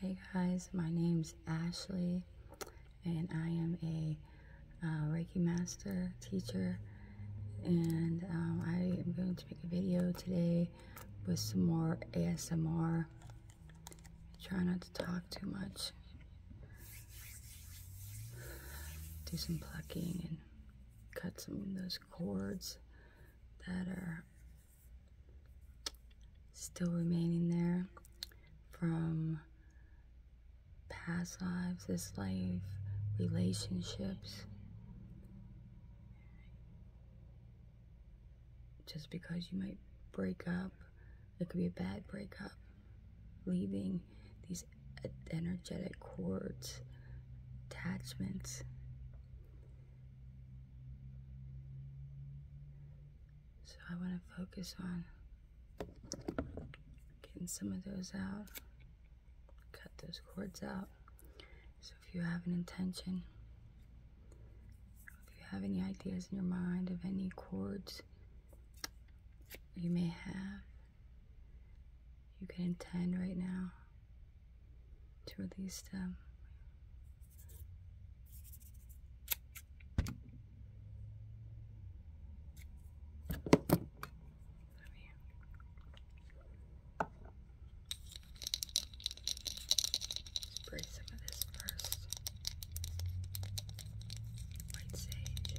Hey guys, my name's Ashley, and I am a uh, Reiki Master teacher, and um, I am going to make a video today with some more ASMR. Try not to talk too much. Do some plucking and cut some of those cords that are still remaining there from past lives, this life, relationships. Just because you might break up, it could be a bad breakup, leaving these energetic cords, attachments. So I want to focus on getting some of those out, cut those cords out. So if you have an intention, if you have any ideas in your mind of any cords you may have, you can intend right now to release them Spray some of this first. White sage.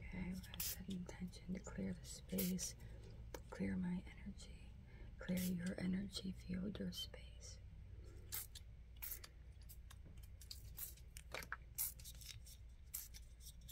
Okay, set intention to clear the space, clear my energy, clear your energy field, your space.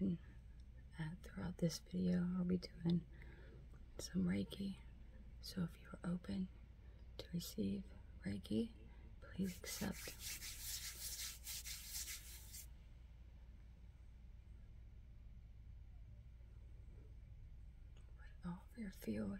And uh, throughout this video, I'll be doing some Reiki. So if you're open to receive Reiki, please accept. Put all your field.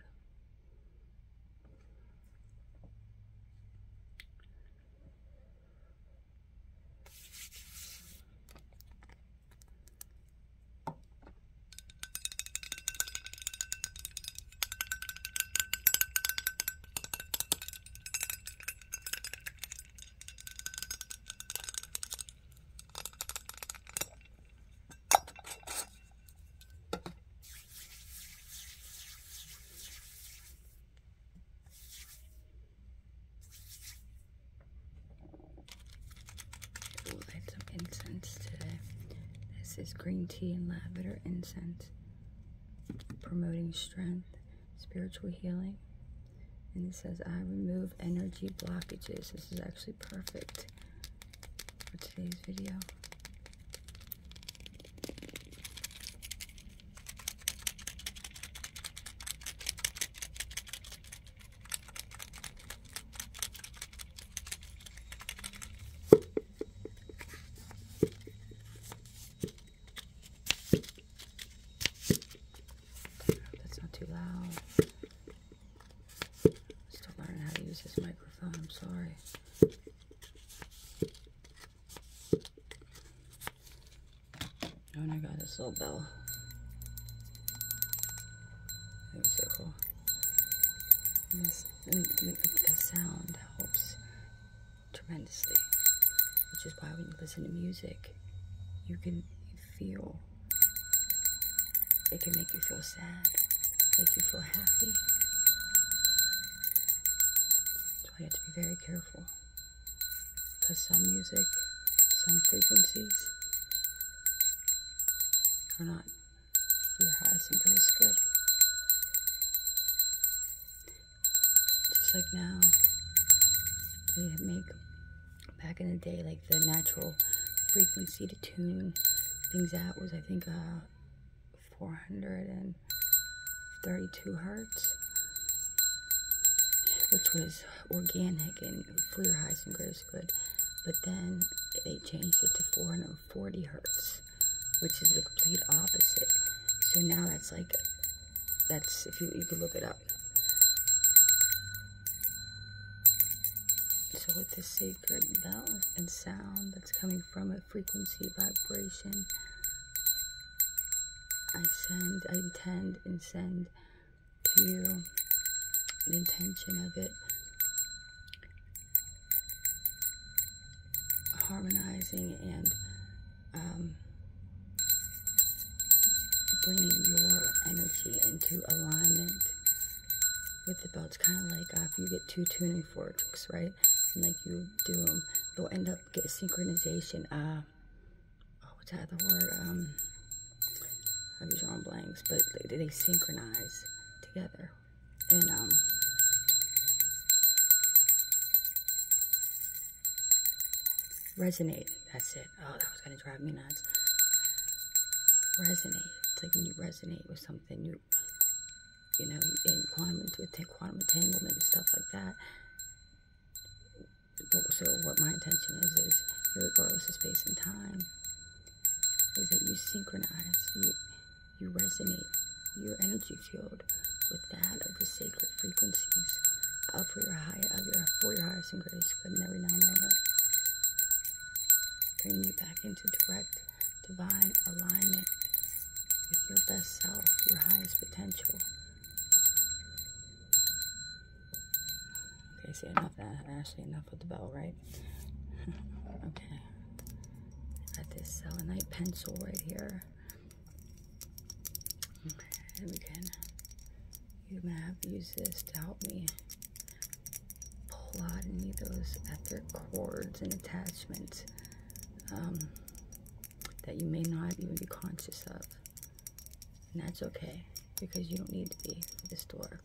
We'll some incense today. This is green tea and lavender incense promoting strength, spiritual healing. And it says, I remove energy blockages. This is actually perfect for today's video. That's not too loud. Still learning how to use this microphone, I'm sorry. Oh my god, this little bell. It was so cool. the sound helps tremendously, which is why when you listen to music, you can feel. It can make you feel sad, make you feel happy. So you have to be very careful. Because some music, some frequencies are not your Heisenberg's grip. Just like now, they make back in the day like the natural frequency to tune things out was I think uh, 432 hertz, which was organic and for and Heisenberg's good. But then they changed it to 400 40 hertz, which is the complete opposite. So now that's like, that's, if you, you could look it up. So with the sacred bell and sound that's coming from a frequency vibration, I send, I intend and send to you the intention of it harmonizing and um, bringing your energy into alignment with the belt. kind of like uh, if you get two tuning forks, right? like you do them, they'll end up get synchronization. Uh, oh, what's that the word? Um, I'm drawing blanks, but they synchronize together, and um, resonate. That's it. Oh, that was gonna drive me nuts. Resonate. It's like when you resonate with something, you you know, in quantum into quantum entanglement and stuff like that. So what my intention is is, regardless of space and time, is that you synchronize. You resonate your energy field with that of the sacred frequencies of for your higher of for your highest and greatest good in every now moment. Bringing you back into direct divine alignment with your best self, your highest potential. Okay, see enough that uh, Ashley, enough with the bell, right? okay. At this selenite pencil right here. And we can, you can have use this to help me pull out any of those etheric cords and attachments um, that you may not even be conscious of. And that's okay because you don't need to be for this to work.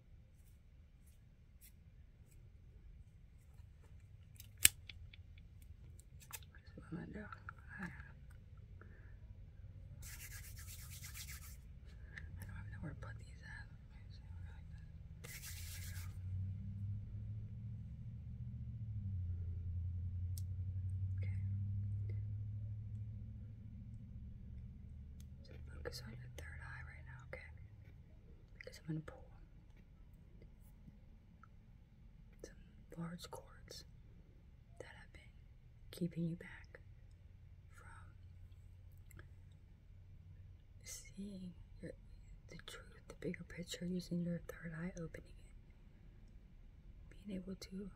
Slow it down. I don't even know where to put these at. Okay. So focus on your third eye right now okay? Because I'm gonna pull some large cords that have been keeping you back from seeing the truth, the bigger picture, using your third eye, opening it, being able to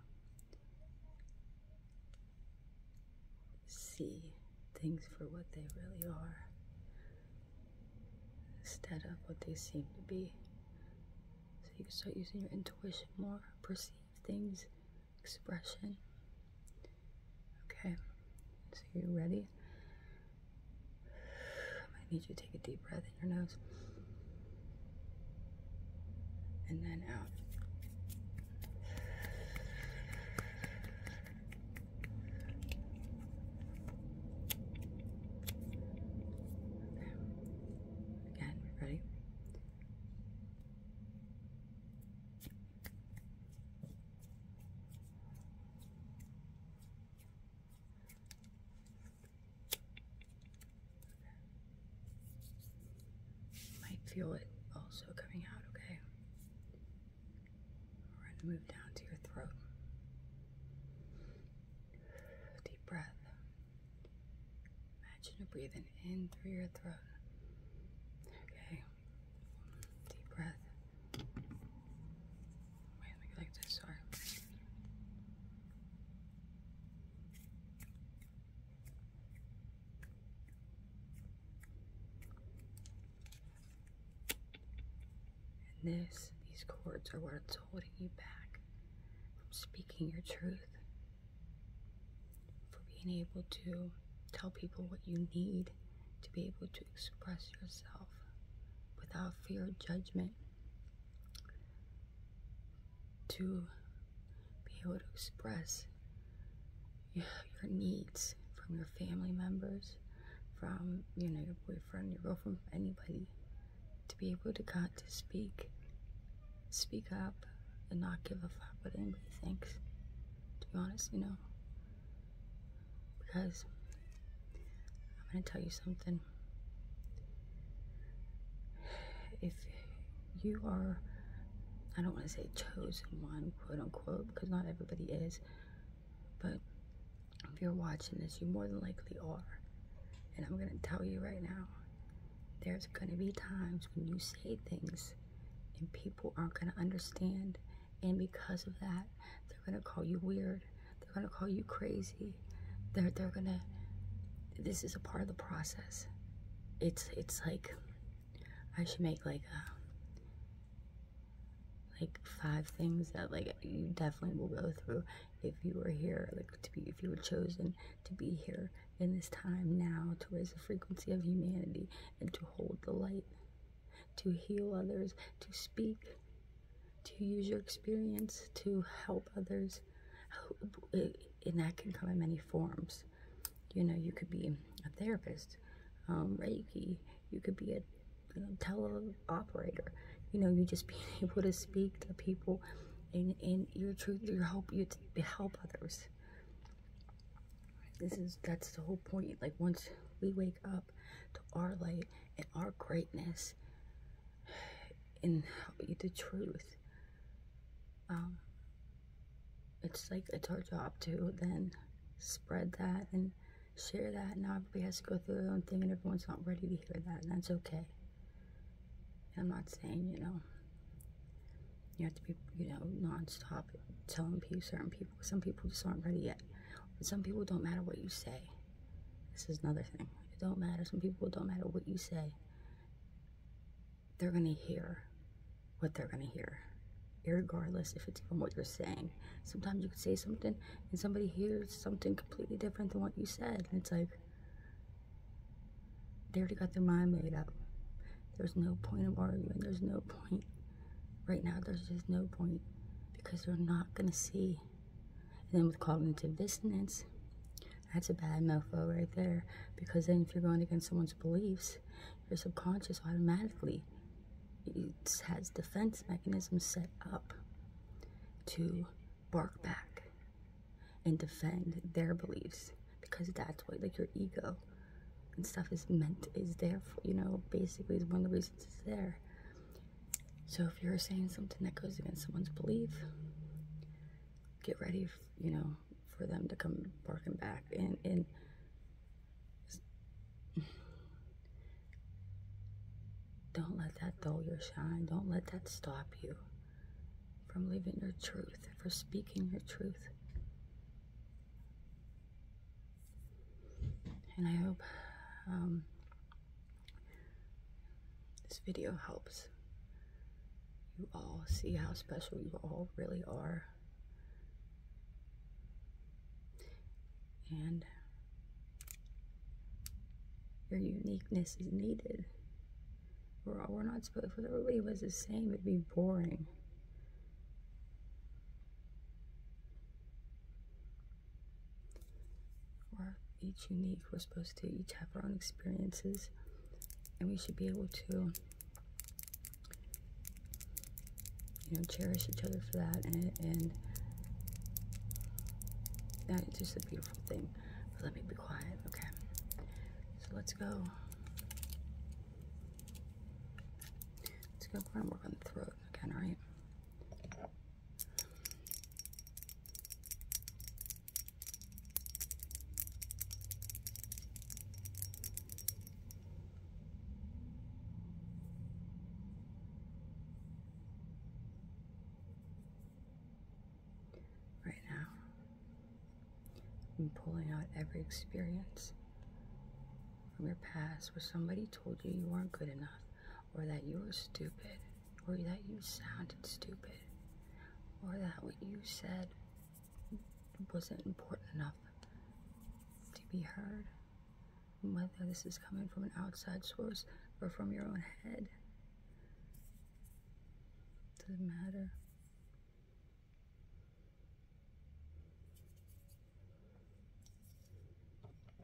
see things for what they really are instead of what they seem to be. So you can start using your intuition more, perceive things, expression. Okay, so you're ready. I need you to take a deep breath in your nose and then out. Again, ready? Okay. You might feel it also coming out, okay? We're going to move down to your throat. Deep breath. Imagine you're breathing in through your throat. Okay. Deep breath. Wait, like this. Sorry. And this, these cords are what's holding you back from speaking your truth, for being able to tell people what you need to be able to express yourself without fear of judgment, to be able to express your needs from your family members, from you know your boyfriend, your girlfriend, anybody, to be able to God to speak, speak up, and not give a fuck what anybody thinks. To be honest, you know, because I'm gonna tell you something. If you are, I don't want to say chosen one, quote unquote unquote, because not everybody is. But if you're watching this, you more than likely are. And I'm going to tell you right now there's going to be times when you say things and people aren't going to understand. And because of that, they're going to call you weird. They're going to call you crazy. They're, they're going to, this is a part of the process. It's, it's like, I should make like um, like five things that like you definitely will go through if you were here, like to be if you were chosen to be here in this time now to raise the frequency of humanity and to hold the light, to heal others, to speak, to use your experience to help others. And that can come in many forms. You know, you could be a therapist Reiki. Um, you could be a tele operator. You know, you just being able to speak to people and, and your truth, your hope, you help others. This is, that's the whole point. Like once we wake up to our light and our greatness and the truth, um, it's like it's our job to then spread that and share that and everybody has to go through their own thing and everyone's not ready to hear that and that's okay i'm not saying you know you have to be you know non-stop telling people certain people some people just aren't ready yet some people don't matter what you say this is another thing it don't matter some people don't matter what you say they're going to hear what they're going to hear, regardless if it's even what you're saying. Sometimes you can say something and somebody hears something completely different than what you said. And it's like, they already got their mind made up. There's no point of arguing. There's no point. Right now, there's just no point because they're not going to see. And then with cognitive dissonance, that's a bad mofo right there because then if you're going against someone's beliefs, your subconscious automatically it has defense mechanisms set up to bark back and defend their beliefs because that's why, like your ego and stuff is meant is there for you know basically is one of the reasons it's there so if you're saying something that goes against someone's belief get ready you know for them to come barking back. And, and don't let that dull your shine. Don't let that stop you from living your truth, for speaking your truth. And I hope um, this video helps you all see how special you all really are and your uniqueness is needed. We're, all, we're not supposed, if everybody was the same, it'd be boring. We're each unique, we're supposed to each have our own experiences, and we should be able to you know, cherish each other for that, and, that is just a beautiful thing. let me be quiet, okay? So let's go. Let's go. We're gonna work on the throat again, all right? Right now, I'm pulling out every experience from your past where somebody told you you weren't good enough, or that you were stupid, or that you sounded stupid, or that what you said wasn't important enough to be heard. Whether this is coming from an outside source or from your own head, doesn't matter.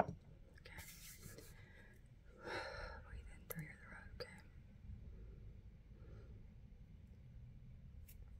Okay. Breathe in through your throat, okay?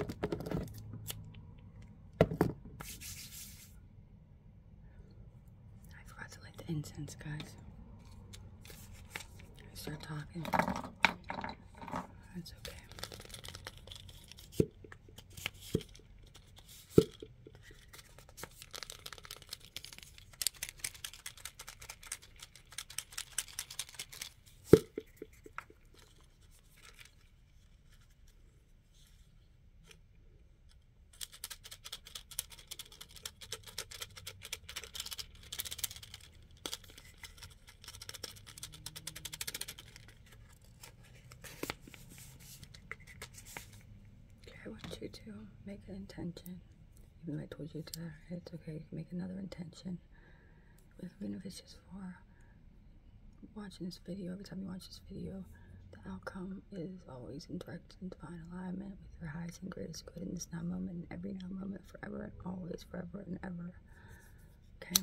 I forgot to light the incense, guys. I start talking. That's okay. Okay, I want you to make an intention. Even though I told you to, it's okay. You can make another intention with beneficials for watching this video. Every time you watch this video, the outcome is always in direct and divine alignment with your highest and greatest good in this now moment, and every now moment, forever and always, forever and ever. Okay.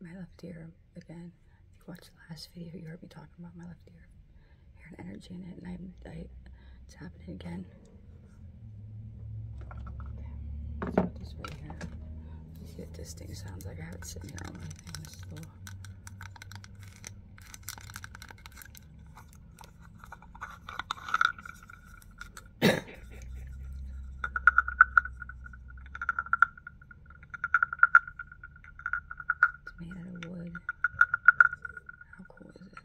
my left ear again if you watched the last video you heard me talking about my left ear I hear energy in it and I, am I it's happening again let's put this right here you see what this thing sounds like I have it sitting here on my thing made out of wood. How cool is this?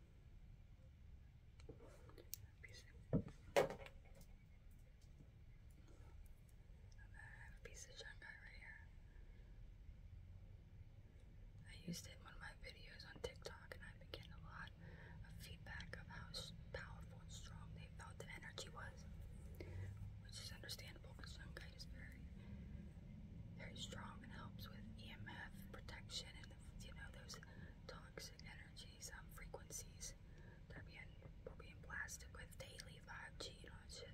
piece of, a piece of junk right here. I used it in one of my videos on TikTok, and I've been getting a lot of feedback of how powerful and strong they felt the energy was, which is understandable because junk is very very strong and helps with EMF protection and you know those toxic energies, um, frequencies that we're being blasted with daily 5G and all shit.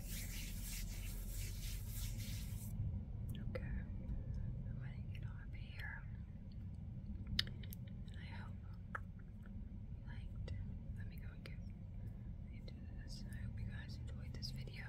Okay, I'm going to get off here. I hope you liked. Let me go and get into this. I hope you guys enjoyed this video.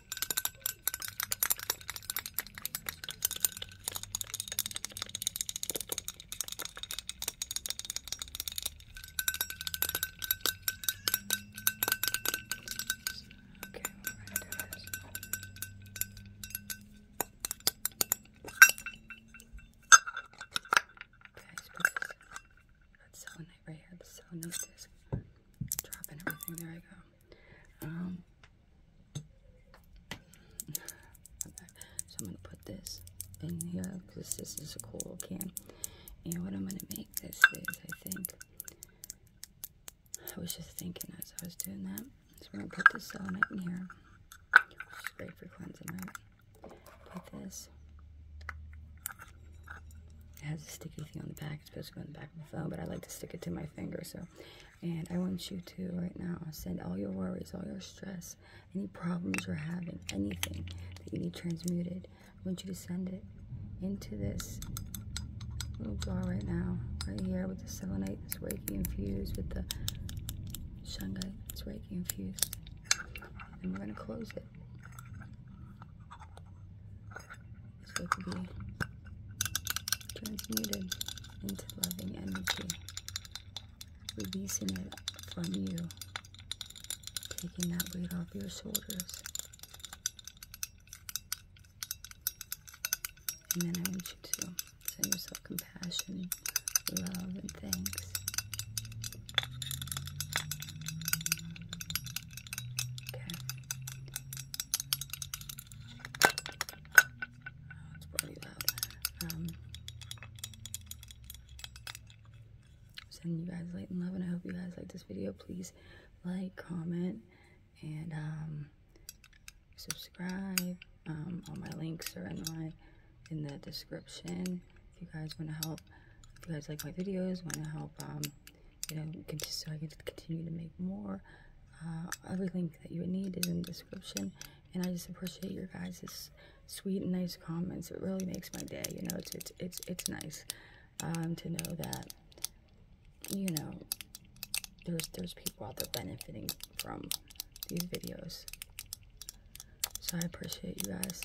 Guys, that's so nice right here. That's so nice. Just dropping everything. There I go. Um, so I'm gonna put this in here because this is a cool can. And what I'm gonna make this is, I think, I was just thinking as I was doing that. So we're gonna put this element in here. Which great for cleansing, right? Put this. It has a sticky thing on the back. It's supposed to go in the back of the phone, but I like to stick it to my finger. So, and I want you to right now send all your worries, all your stress, any problems you're having, anything that you need transmuted. I want you to send it into this little jar right now, right here with the selenite. It's Reiki infused with the shungite. It's Reiki infused, and we're gonna close it. It's going to be transmuted into loving energy, releasing it from you, taking that weight off your shoulders. And then I want you to send yourself compassion, love, and thanks. Okay. It's probably um, sending you guys light and love, and I hope you guys like this video. Please like, comment, and um, subscribe. Um, all my links are in my in the description. If you guys want to help, if you guys like my videos, want to help you know, so I can continue to make more. Uh, everything that you need is in the description. And I just appreciate your guys' sweet and nice comments. It really makes my day. You know, it's it's it's it's nice um, to know that you know there's there's people out there benefiting from these videos. So I appreciate you guys.